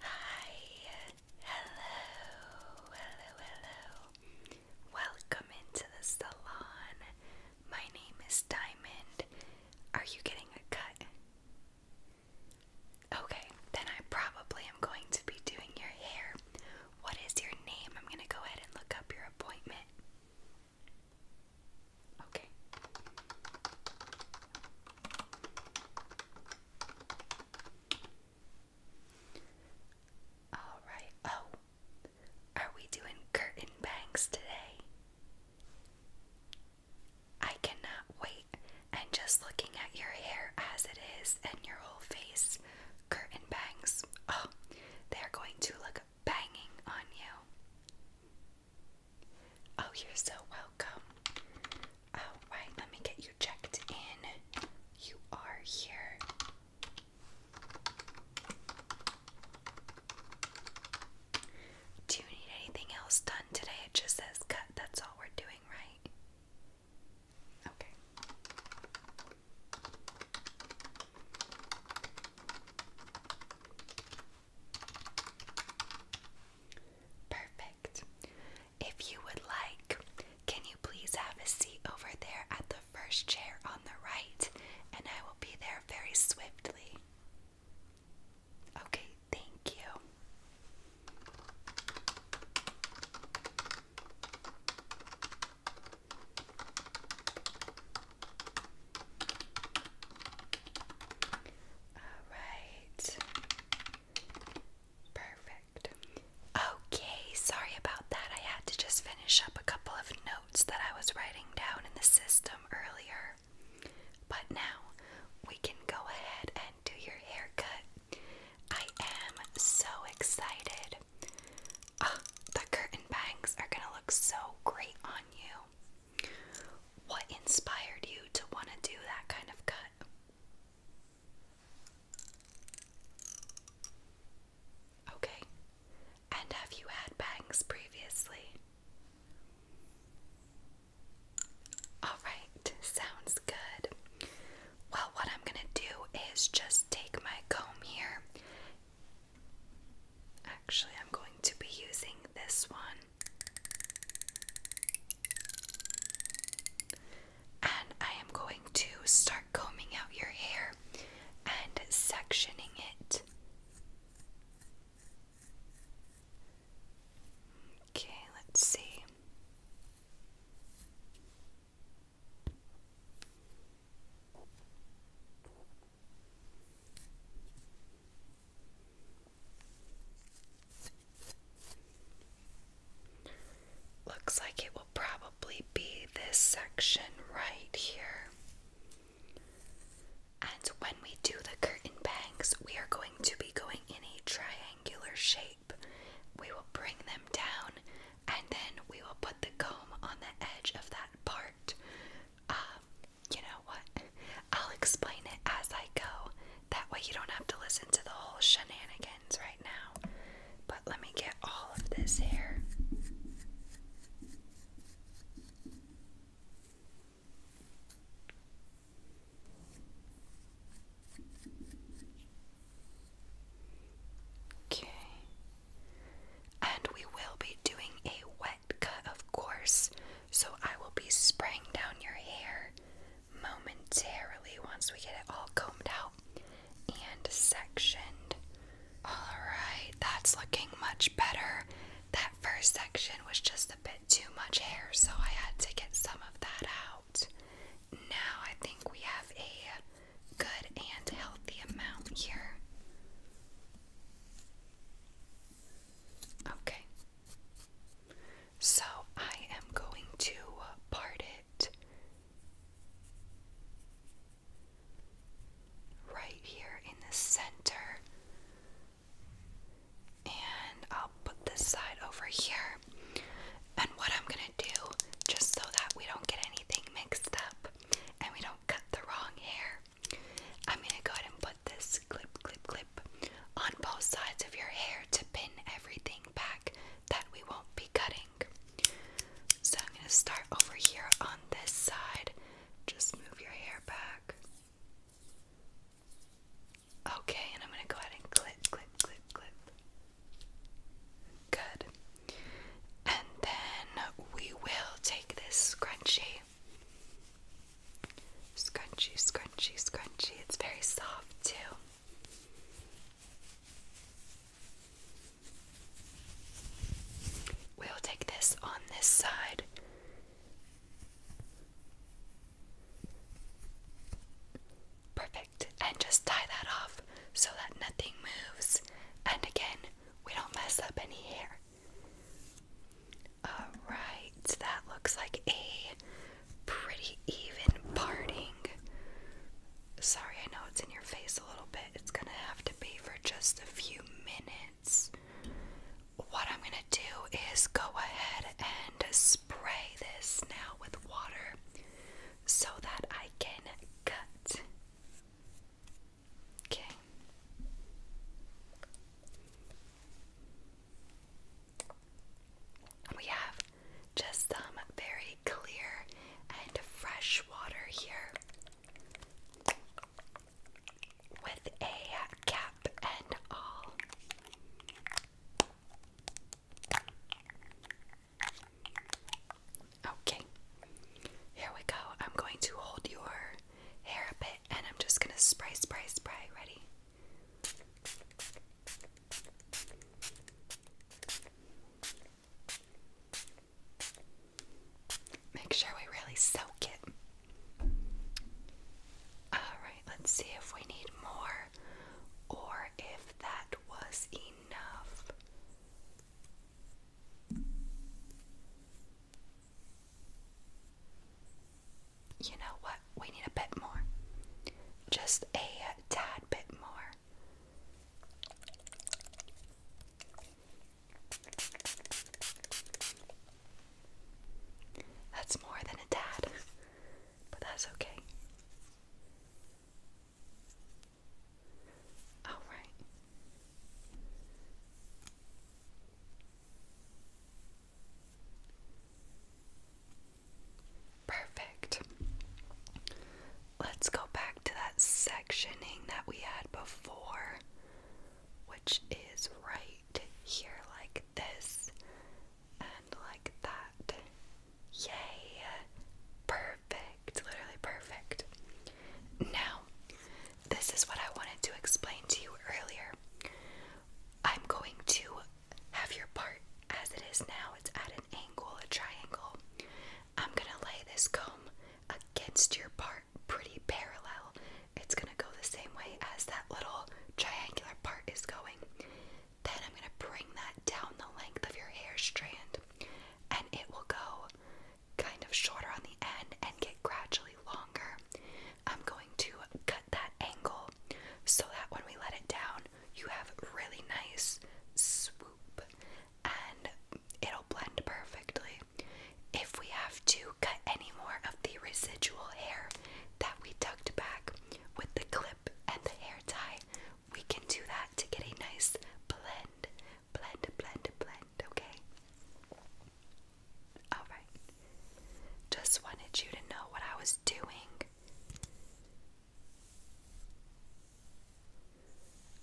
Hi, hello, hello, hello. Welcome into the salon. My name is Diamond. Are you getting a cut? Okay, then I probably am going to be doing your hair. What is your name? I'm going to go ahead and look up your appointment. Okay. Alright, oh, are we doing curtain bangs today? I cannot wait. And just looking at your hair as it is and your whole face, curtain bangs, oh, they're going to look banging on you. Oh, you're so welcome. All right, let me get you checked in. You are here. Do you need anything else done today? It just says cut. That's all we're doing, right? Okay. Perfect. If you would like, can you please have a seat over there at the first chair on the right? And I will be there very swiftly. Okay, thank you. All right. Perfect. Okay, sorry about that. I had to just finish up a couple of notes that I was writing down in the system earlier. But now we can go ahead and do your haircut. I am so excited. Ah, the curtain bangs are going to look so great on you. What inspired you to want to do that kind of cut? Okay. And have you had bangs previously? Alright, sounds good. Well, what I'm gonna do is just take my comb here. Actually, I'm going to be using this one. And I am going to start combing out your hair and sectioning it. Okay, let's see. Looks like it will probably be this section right here. And when we do the curtain bangs, we are going to be going in a triangular shape. We will bring them down and then we will put the comb on the edge of that part. Um, you know what? I'll explain it as I go. That way, you don't have to listen to the whole shenanigans right now. But let me get all of this here. Okay. And we will be doing a wet cut, of course. So I will be spraying down your hair momentarily once we get it all combed out and sectioned. Alright, that's looking much better. That first section was just a bit too much hair, so I had to get some of that out. Now I think we have a good and healthy amount here. Okay. So I am going to part it right here in the center. And I'll put this side over here. And what I'm going to do, just so that we don't get anything mixed up and we don't cut the wrong hair, I'm going to go ahead and put this clip, clip, clip on both sides of your hair to pin everything back that we won't be cutting. So I'm going to start over here on this side. Just move your hair back. Okay, and I'm going to go ahead and clip, clip, clip, clip. Good. And then we will take this scrunchie Scrunchy, scrunchy, scrunchy. It's very soft, too. We'll take this on this side. Perfect. And just tie that off so that nothing moves. And again, we don't mess up any hair. Alright, that looks like a pretty even parting. Sorry, I know it's in your face a little bit. It's gonna have to be for just a few minutes. What I'm gonna do is go ahead and spray this now with water so that I can cut. Okay. We have just some very clear and fresh water here with a cap and all. Okay, here we go. I'm going to hold your hair a bit and I'm just going to spray, spray, spray. Ready? Make sure we really soak it. Alright, let's see if we need more or if that was enough you know what? We need a bit more. Just a tad bit more. That's more than a tad, but that's okay. All right. Perfect. Let's go back to that sectioning that we had before, which is right here, like this and like that. Yay! Perfect. Literally perfect. Now, this is what I wanted to explain to you earlier. I'm going to have your part as it is now. It's at an angle, a triangle. I'm gonna lay this comb against your part pretty parallel. It's gonna go the same way as that little triangular part is going. Then I'm gonna bring that down the length of your hair strand and it will go kind of shorter on the end and get gradually longer. I'm going to cut that angle so that when we let it down, you have really nice swoop and it'll blend perfectly. If we have to cut any more of the residual hair that we tucked back with the clip and the hair tie, we can do that to get a nice blend. Blend, blend, blend, okay? Alright. Just wanted you to know what I was doing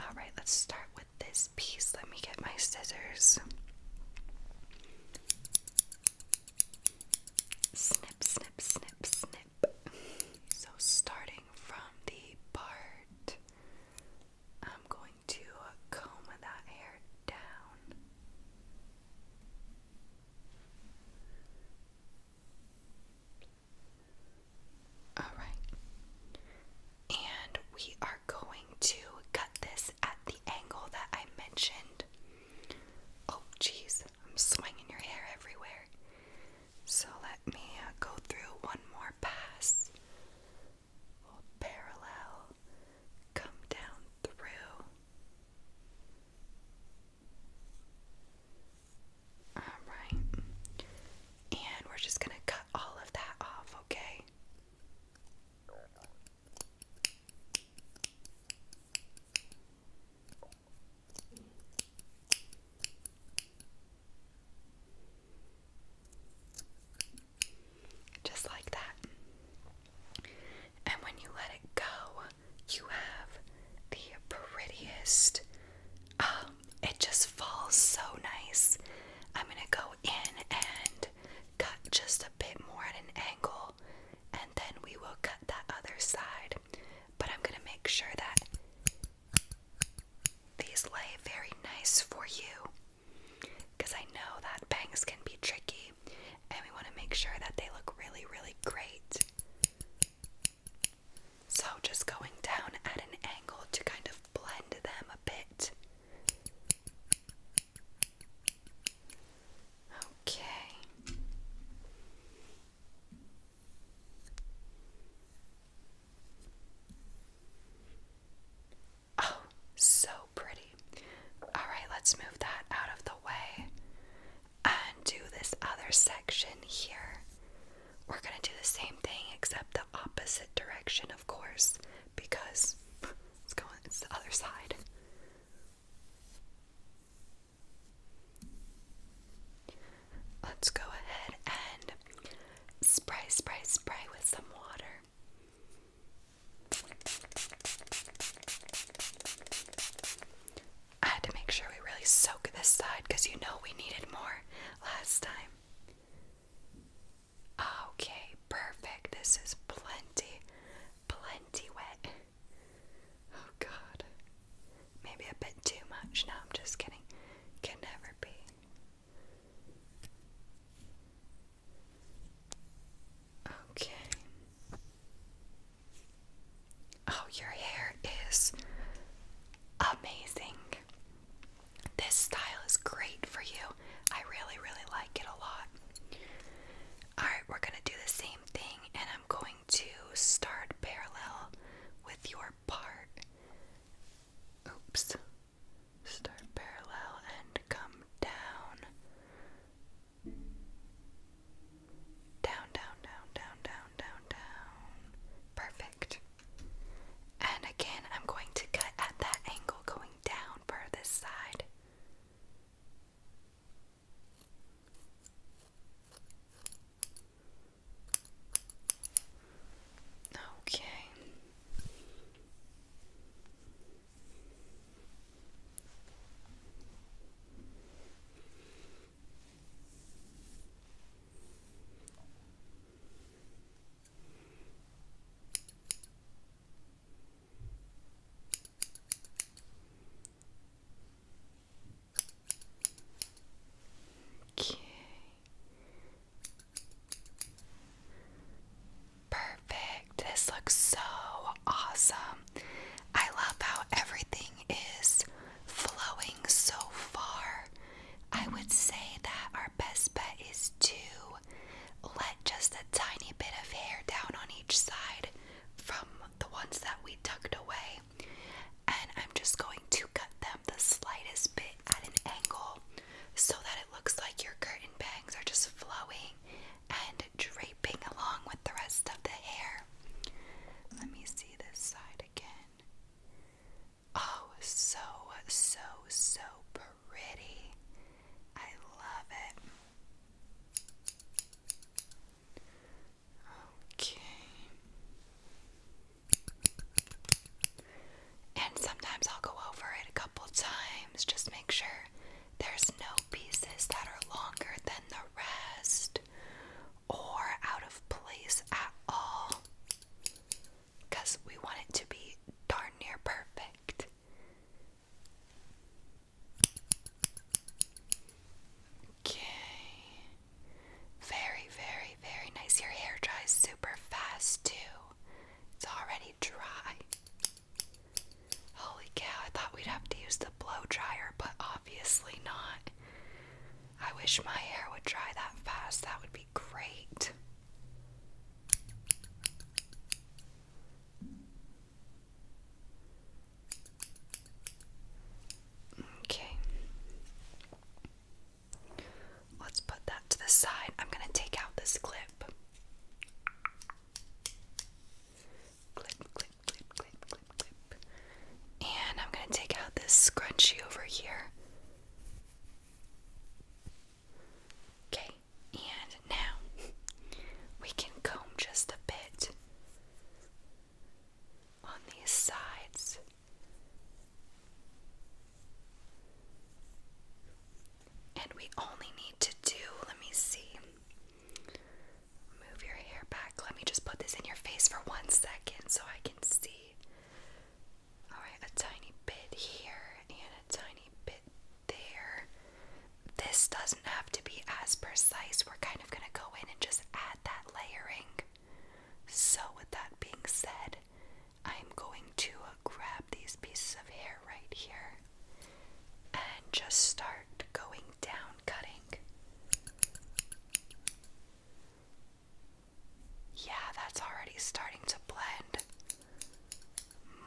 Alright, let's start with this piece. Let me get my scissors. Snip, snip, snip, snip. So, starting from the part, I'm going to comb that hair down. All right. And we are going to cut this at the angle that I mentioned. Oh, jeez, I'm swinging your hair everywhere. So let me go through one more pass. parallel, come down through. All right. And we're just going to cut all of that off, okay? Just like that. And when you let it go, you have the prettiest. Um, it just falls so nice. I'm gonna go in and cut just a bit more at an angle, and then we will cut that other side. But I'm gonna make sure that these lay very nice for you because I know that bangs can be tricky, and we want to make sure that they look really, really great. So, just going down at an angle to kind of blend them a bit. Okay. Oh, so pretty. All right, let's move that out of the way and do this other section here. We're going to do the same thing except the opposite direction, of course, because it's going it's the other side. Let's go ahead and spray, spray, spray with some water. I had to make sure we really soak this side because you know we needed more last time. Okay, perfect. This is plenty, plenty wet. Oh god. Maybe a bit too much. No, I'm just kidding. Can never be. Okay. Oh, your hair is amazing. This style is great for you. I really, really like it a lot. Alright, we're going to do the same thing, and I'm going to start parallel with your part. Oops. Start parallel and come down. Down, down, down, down, down, down, down. Perfect. And again, I'm going to cut at that angle going down for this side. Okay. Okay. Perfect. This looks so awesome. I love how everything is flowing so far. I would say that our best bet is to let just a tiny bit of hair down on each side from the ones that we tucked away. And I'm just going to cut them the slightest bit at an angle so that it looks like your curtain bangs are just flowing and draping along with the rest of the hair. Let me see this side again. Oh, so, so, so pretty. I love it. Okay. And sometimes I'll go over it a couple times, just make sure there's no pieces that are longer than the rest or out of place at all because we want it to be darn near perfect. Okay. Very, very, very nice. Your hair dries super fast, too. It's already dry. Holy cow, I thought we'd have to use the blow dryer, but obviously not. I wish my hair would dry that fast. That would be great. Okay. Let's put that to the side. I'm going to take out this clip. And I'm going to take out this scrunchie over here. Okay, and now we can comb just a bit on these sides. And we only need to do, let me see. Move your hair back. Let me just put this in your face for one second so I can see. Alright, a tiny bit here and a tiny bit there. This doesn't have to be as precise. We're kind of going to go in and just add that layering. So, with that being said, I'm going to grab these pieces of hair right here and just start going down yeah, that's already starting to blend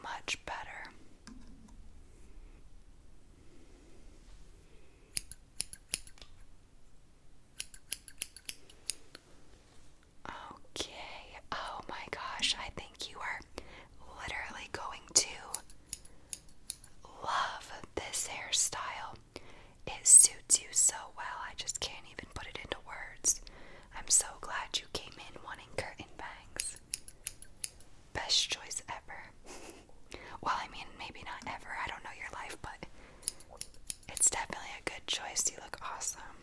much better. Okay, oh my gosh, I think you are literally going to love this hairstyle. It suits you so well, I just can't even put it into words. I'm so glad you came in wanting curtain bangs. Best choice ever. well, I mean, maybe not ever, I don't know your life, but it's definitely a good choice. You look awesome.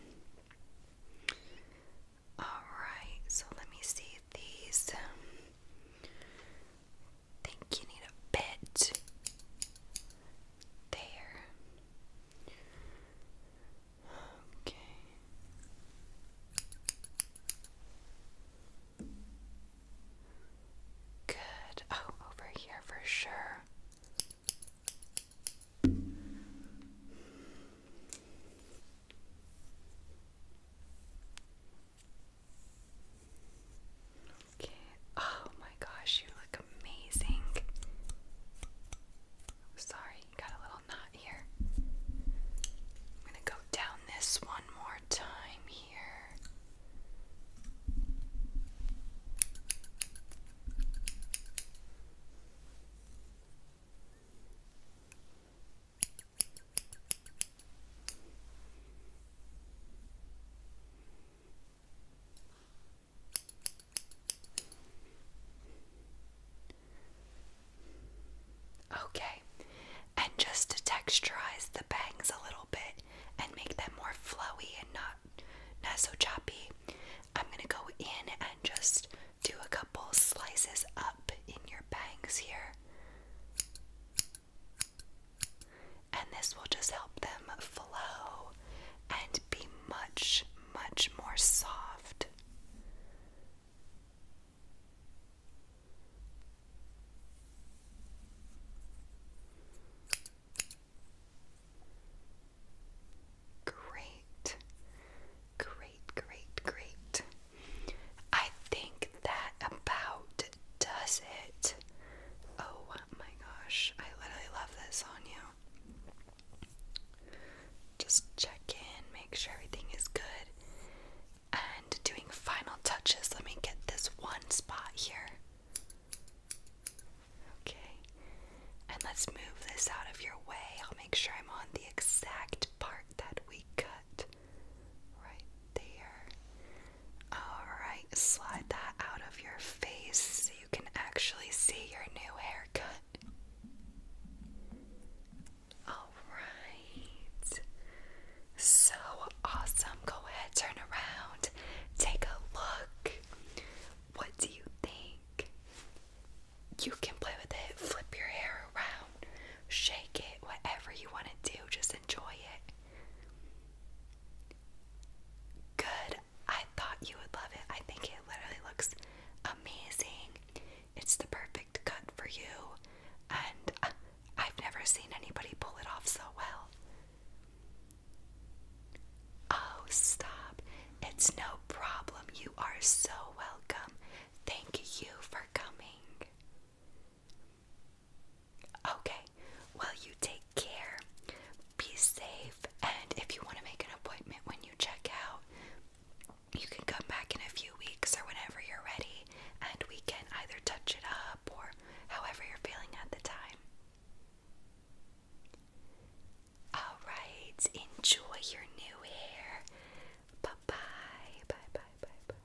Alright, so let me see these. Think you need a bit there. Okay. Good. Oh, over here for sure. Okay. Oh my gosh, you look amazing. sorry, got a little knot here. I'm gonna go down this one more time here. Okay, and just to texturize the bangs a little bit and make them more flowy and not not so choppy, I'm gonna go in and just do a couple slices up in your bangs here. And this will just help them flow and be much, much more soft. Great, great, great, great. I think that about does it. Oh my gosh, I literally love this on you. Just check in, make sure everything is good. And doing final touches, let me get this one spot here. Okay, and let's move this out of your way. I'll make sure I'm on the exact part that we cut. Right there. Alright, slide that out of your face so you can actually see your new haircut. Alright. So awesome. Go ahead, turn around, take a look. What do you think? You can play with it, flip your hair around, shake it, whatever you want to do, just enjoy it. Good. I thought you would love it. I think it literally looks amazing. It's the perfect cut for you, and uh, I've never seen anybody pull it off so well. Oh, stop. It's no problem. You are so welcome. Thank you for coming. Okay, well, you take care, be safe, and if you want to make an appointment when you check out, you can come back in a few weeks or whenever you're ready, and we can either touch it up or however you're feeling at the time. Alright, enjoy your new hair. Bye bye. Bye bye bye bye.